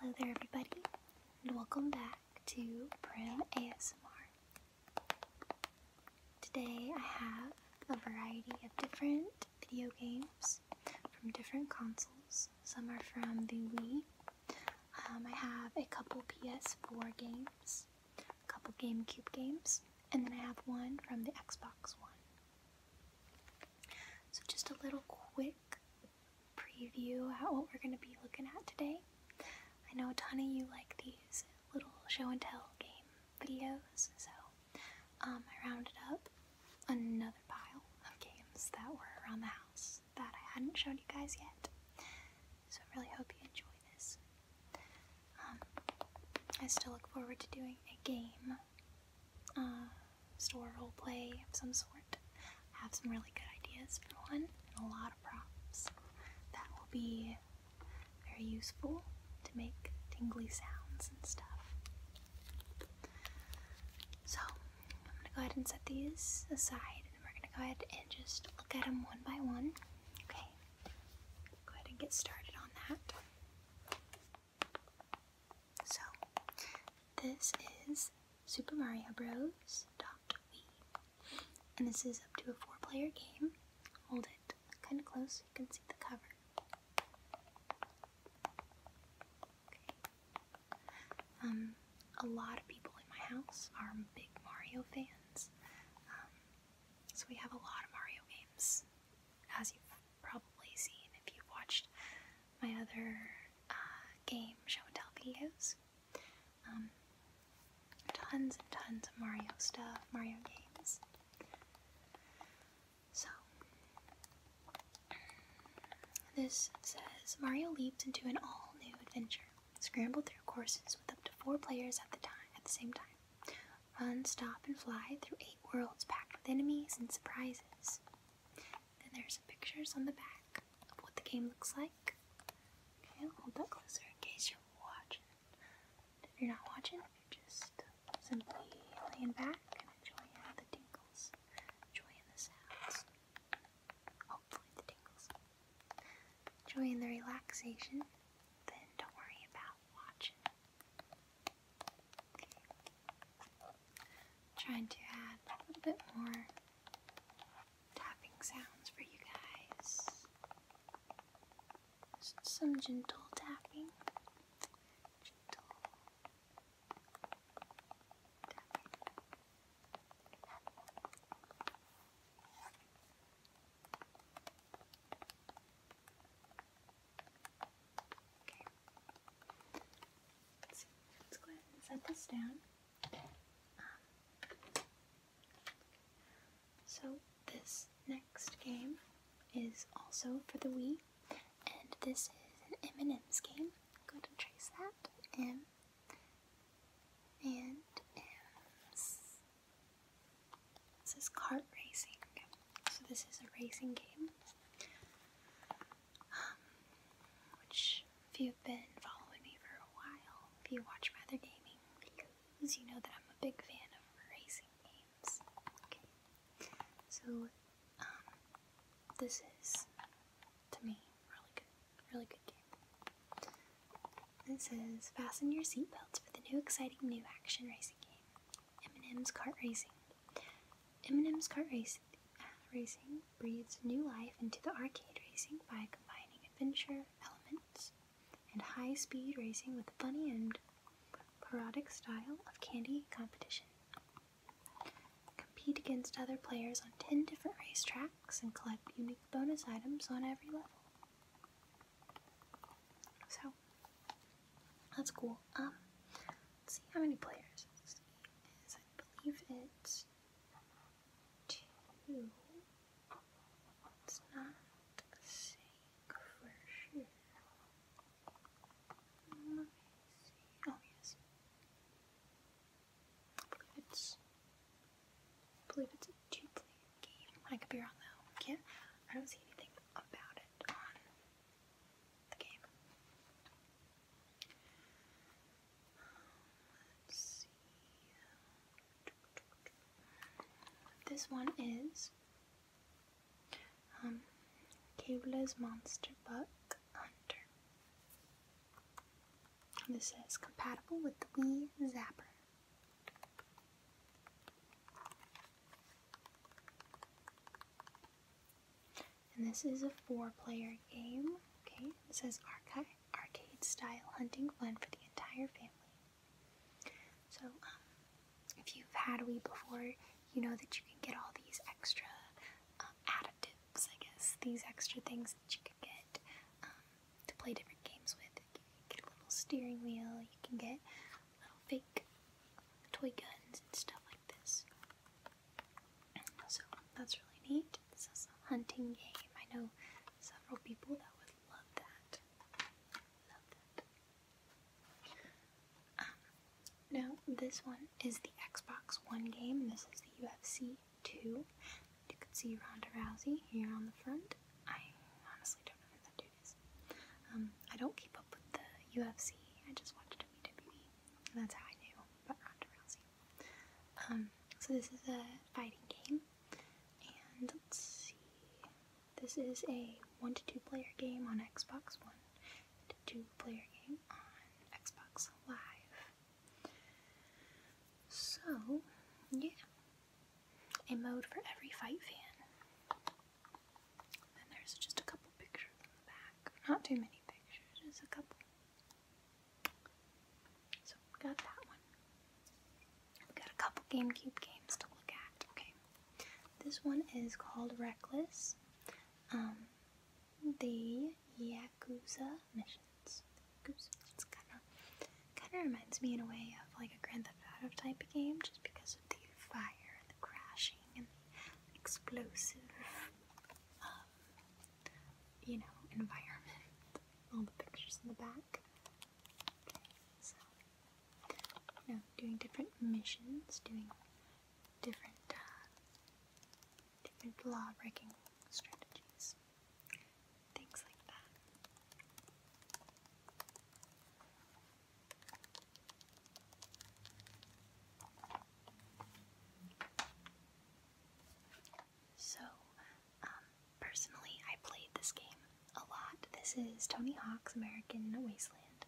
Hello there, everybody, and welcome back to Prim ASMR. Today I have a variety of different video games from different consoles. Some are from the Wii. Um, I have a couple PS4 games a couple GameCube games, and then I have one from the Xbox One. So just a little quick preview at what we're going to be looking at today. I know a ton of you like these little show and tell game videos, so um, I rounded up another pile of games that were around the house that I hadn't shown you guys yet. So I really hope you enjoy this. Um, I still look forward to doing a game, uh, store role play of some sort. I have some really good ideas for one, and a lot of props. That will be very useful to make tingly sounds and stuff. So, I'm gonna go ahead and set these aside, and we're gonna go ahead and just look at them one by one. Okay, Go ahead and get started on that. So, this is Super Mario Bros. Wii, and this is up to a four-player game. Hold it kind of close so you can see the cover. Okay. Um, a lot of people in my house are big Mario fans. Um, so we have a lot of Mario games, as you've probably seen if you've watched my other uh, game show and tell videos. Um, tons and tons of Mario stuff, Mario games. So, this says Mario leaps into an all new adventure. scrambled through courses with up to four players at the time at the same time. Run, stop, and fly through eight worlds packed with enemies and surprises. Then there's pictures on the back of what the game looks like. Okay, hold that closer in case you're watching. If you're not watching, you're just simply laying back and enjoying the tingles, enjoying the sounds. Hopefully, the tingles enjoying the relaxation, then don't worry about watching. trying to add a little bit more tapping sounds for you guys. some gentle tapping. Gentle tapping. Let's, let's go ahead and set this down. Um, so this next game is also for the Wii, and this is an M&M's game. Go ahead and trace that. M and M's. This is kart racing. So this is a racing game. Um, which, if you've been following me for a while, if you watch my other gaming videos, you know that I'm a big fan of racing games. Okay. So, um, this is, to me, really good. Really good It says, fasten your seatbelts for the new exciting new action racing game, M&M's Kart Racing. M&M's Kart uh, Racing, uh, breathes new life into the arcade racing by combining adventure elements and high-speed racing with a funny and parodic style of candy competition. Compete against other players on 10 different racetracks and collect unique bonus items on every level. So that's cool. Um, let's see how many players this is. I believe it's two. It's not saying for sure. Let me see. Oh yes. I believe it's, a two-player game. I could be wrong though. I I don't see anything about it on the game. Let's see. This one is um, Monster Buck Hunter this is compatible with the Wii Zapper. And this is a four-player game. Okay, it says arcade arcade-style hunting fun for the entire family. So, um, if you've had a Wii before, you know that you can get all these extra um, additives tips, I guess, these extra things that you can get um, to play different games with. You can get a little steering wheel, you can get little fake toy guns and stuff like this. So that's really neat. This is a hunting game. I know several people that would love that. Love that. Um, now, this one is the Xbox One game. This is the UFC two. you can see Ronda Rousey here on the front. I honestly don't know who that dude is. Um, I don't keep up with the UFC. I just watch WWE. And that's how I knew about Ronda Rousey. Um, so this is a fighting game. And let's see. This is a one to two player game on Xbox One. Two player game on Xbox Live. So, yeah, a mode for every fight fan. And there's just a couple pictures in the back. Not too many pictures, just a couple. So, we got that one. We got a couple GameCube games to look at. Okay, this one is called Reckless. Um, the Yakuza missions. Oops, it's kind of kind of reminds me in a way of like a Grand Theft Auto type game, just because of the fire and the crashing and the explosive, um, you know, environment. All the pictures in the back. Okay, so you doing different missions, doing different uh, different law breaking strategies, things like that. So, um, personally, I played this game a lot. This is Tony Hawk's American Wasteland.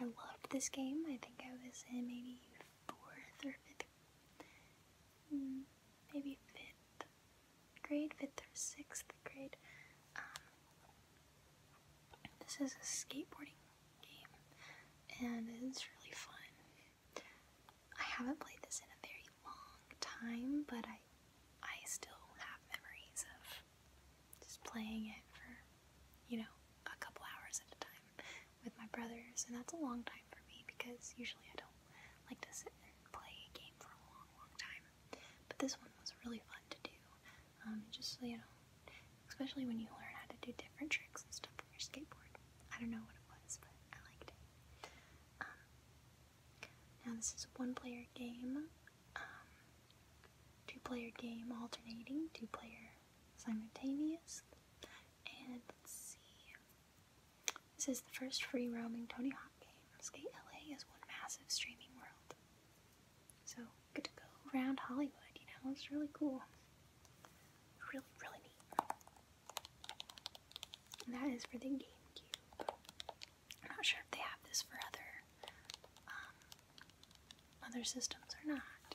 I loved this game. I think I was in maybe fourth or fifth Hmm, maybe fifth grade, fifth or sixth grade. Um, this is a skateboarding game, and it's really fun. I haven't played this in a very long time, but I I still have memories of just playing it for you know a couple hours at a time with my brothers, and that's a long time for me because usually I don't like to sit and play a game for a long, long time. But this one was really fun to do. Um, just you know, especially when you learn how to do different tricks and stuff on your skateboard. I don't know what it was, but I liked it. Um, now this is one-player game, um, two-player game alternating, two-player simultaneous. And let's see. This is the first free roaming Tony Hawk game. Skate LA is one massive streaming world. So good to go around Hollywood, you know, it's really cool. Really, really neat. that is for the GameCube. I'm not sure if they have this for other um, other systems or not.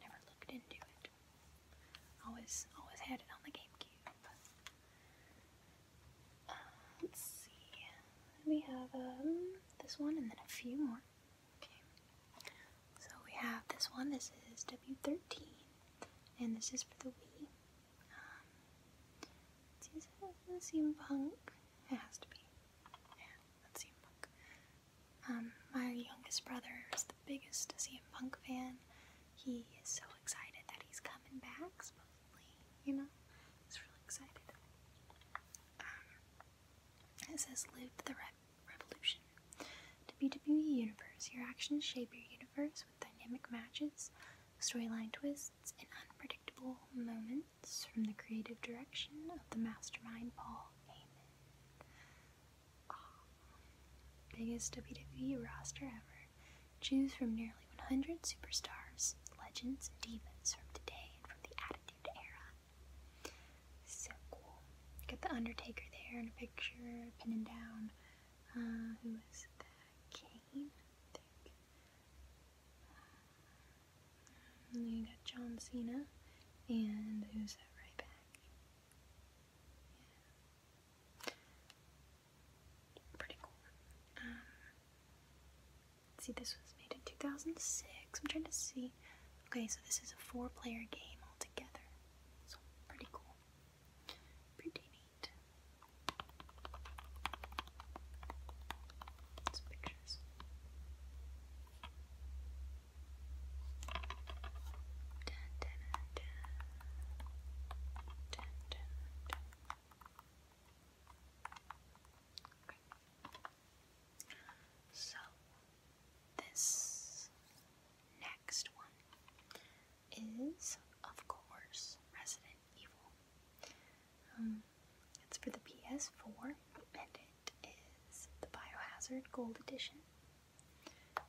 Never looked into it. Always, always had it on the GameCube. Uh, let's see. We have um, this one and then a few more. Okay. So we have this one. This is W13, and this is for the Wii. Um, let's see, is it has to be. Yeah, that's CM Punk. Um, my youngest brother is the biggest CM Punk fan. He is so excited that he's coming back, supposedly, you know? He's really excited. Um, it says, Live the Revolution. WWE Universe, your actions shape your universe with dynamic matches, storyline twists, and unpredictable moments from the creative direction of the mastermind Paul biggest WWE roster ever. Choose from nearly 100 superstars, legends, and divas from today and from the Attitude Era. So cool. Got The Undertaker there in a picture, pinning down. Uh, who is that? Kane? I think. And you got John Cena. And who's that right back? Pretty cool. Um, see, this was made in 2006. I'm trying to see. Okay, so this is a four player game altogether. So, pretty cool. Pretty neat. It's a picture guys. Dun, So, this next one is, of course, Resident Evil. Um, it's for the PS4 and it is the Biohazard Gold Edition.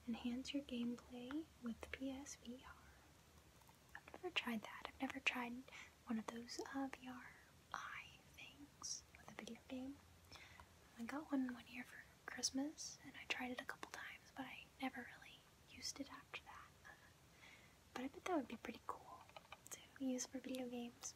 Enhance your gameplay with PSVR. I've never tried that. I've never tried one of those uh, I things with a video game. I got one one year for Christmas and I tried it a couple times, but I never really used it after that. but I bet that would be pretty cool to use for video games.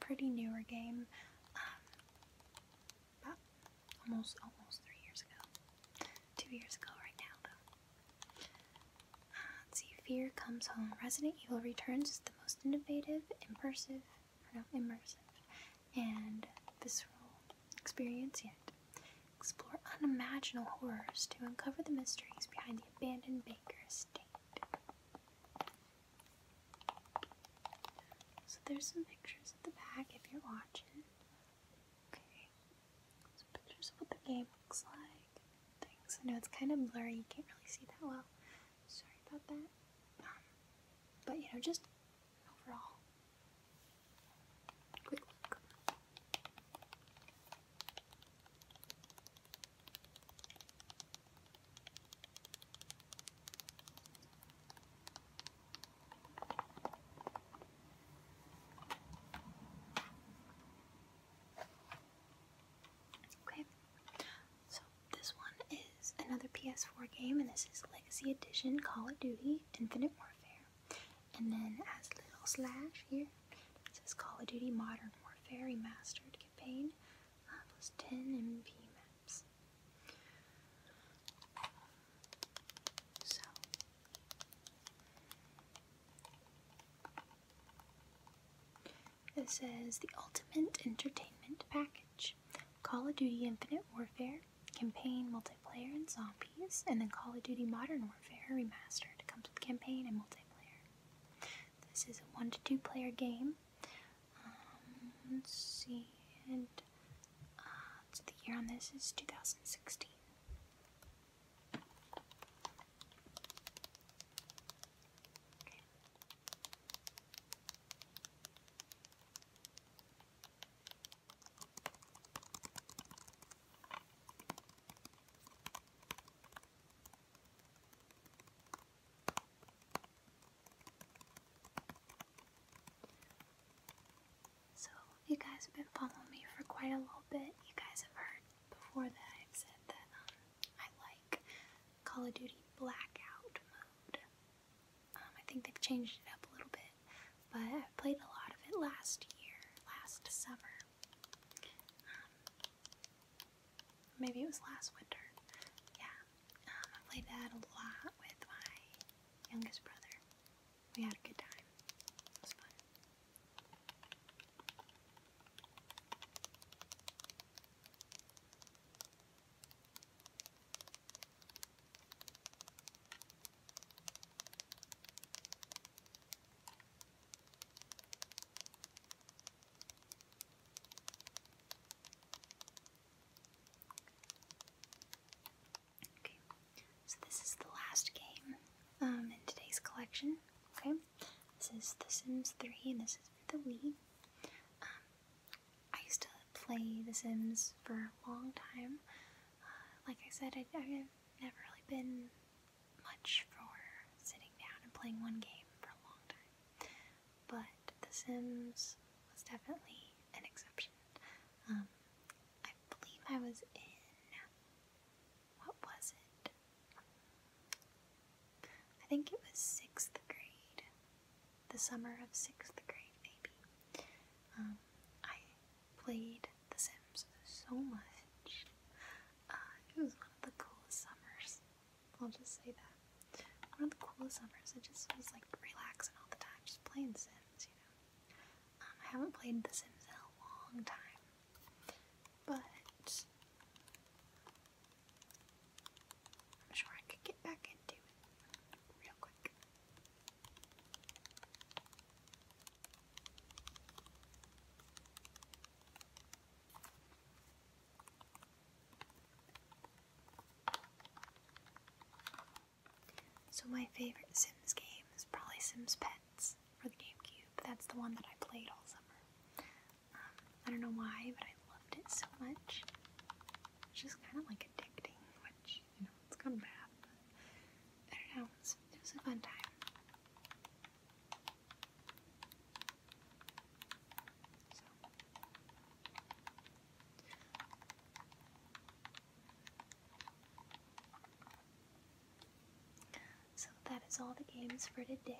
pretty newer game, um, almost almost three years ago, two years ago right now though. Uh, let's see, Fear Comes Home. Resident Evil Returns is the most innovative, immersive, no, immersive, and visceral experience yet. Explore unimaginable horrors to uncover the mysteries behind the abandoned Baker estate. So there's some pictures at the back if you're watching. Okay. Some pictures of what the game looks like. Things. I know it's kind of blurry, you can't really see that well. Sorry about that. Um, but you know, just overall. Quick look. Okay, so this one is another PS4 game, and this is Legacy Edition Call of Duty Infinite Warfare. And then, as little slash here, it says Call of Duty Modern Warfare Mastered Campaign uh, plus 10 MP maps. So. It says the Ultimate Entertainment Package Call of Duty Infinite Warfare, Campaign, Multiplayer, and Zombies, and then Call of Duty Modern Warfare Remastered. It comes with campaign and multiplayer. This is a 1 to 2 player game um, let's see, and uh, so the year on this is 2016. So, you guys have been following me for quite a little bit, you guys have heard before that I've said that um, I like Call of Duty Blackout mode. Um, I think they've changed it up a little bit, but i played a lot of it last year, last summer. Um, Maybe it was last winter. Yeah, um, I played that a lot with my youngest brother. We had a good time so this is the last game um, in today's collection. Okay, this is The Sims 3, and this is the Wii. Um, I used to play The Sims for a long time. Uh, like I said, I've never really been much for sitting down and playing one game for a long time, but The Sims was definitely an exception. Um, I believe I was in. What was it? I think it was sixth grade. The summer of sixth grade, maybe. Um, I played The Sims so much. Uh, it was one of the coolest summers. I'll just say that. One of the coolest summers. It just was like relaxing all the time, just playing Sims, you know. Um, I haven't played The Sims in a long time, but I'm sure I could get back into it real quick. So my favorite Sims game is probably Sims Pets for the GameCube. That's the one that I played all summer. Um, I don't know why, but I loved it so much. It's just kind of like addicting, which, you know, it's kind of bad, I don't know. it was a fun time. So. that is all the games for today.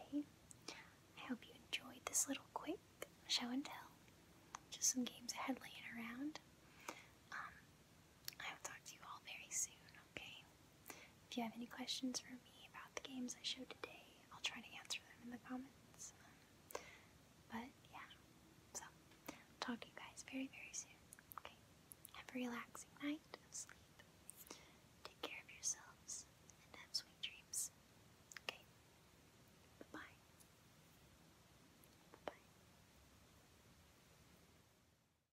I hope you enjoyed this little quick show and tell. Just some games I had laying around. Um, I will talk to you all very soon, okay? If you have any questions for me about the games I showed today, I'll try to answer them in the comments. but yeah, so talk to you guys very, very soon, okay? Have a relaxing night of sleep. Take care of yourselves and have sweet dreams, okay? Bye bye.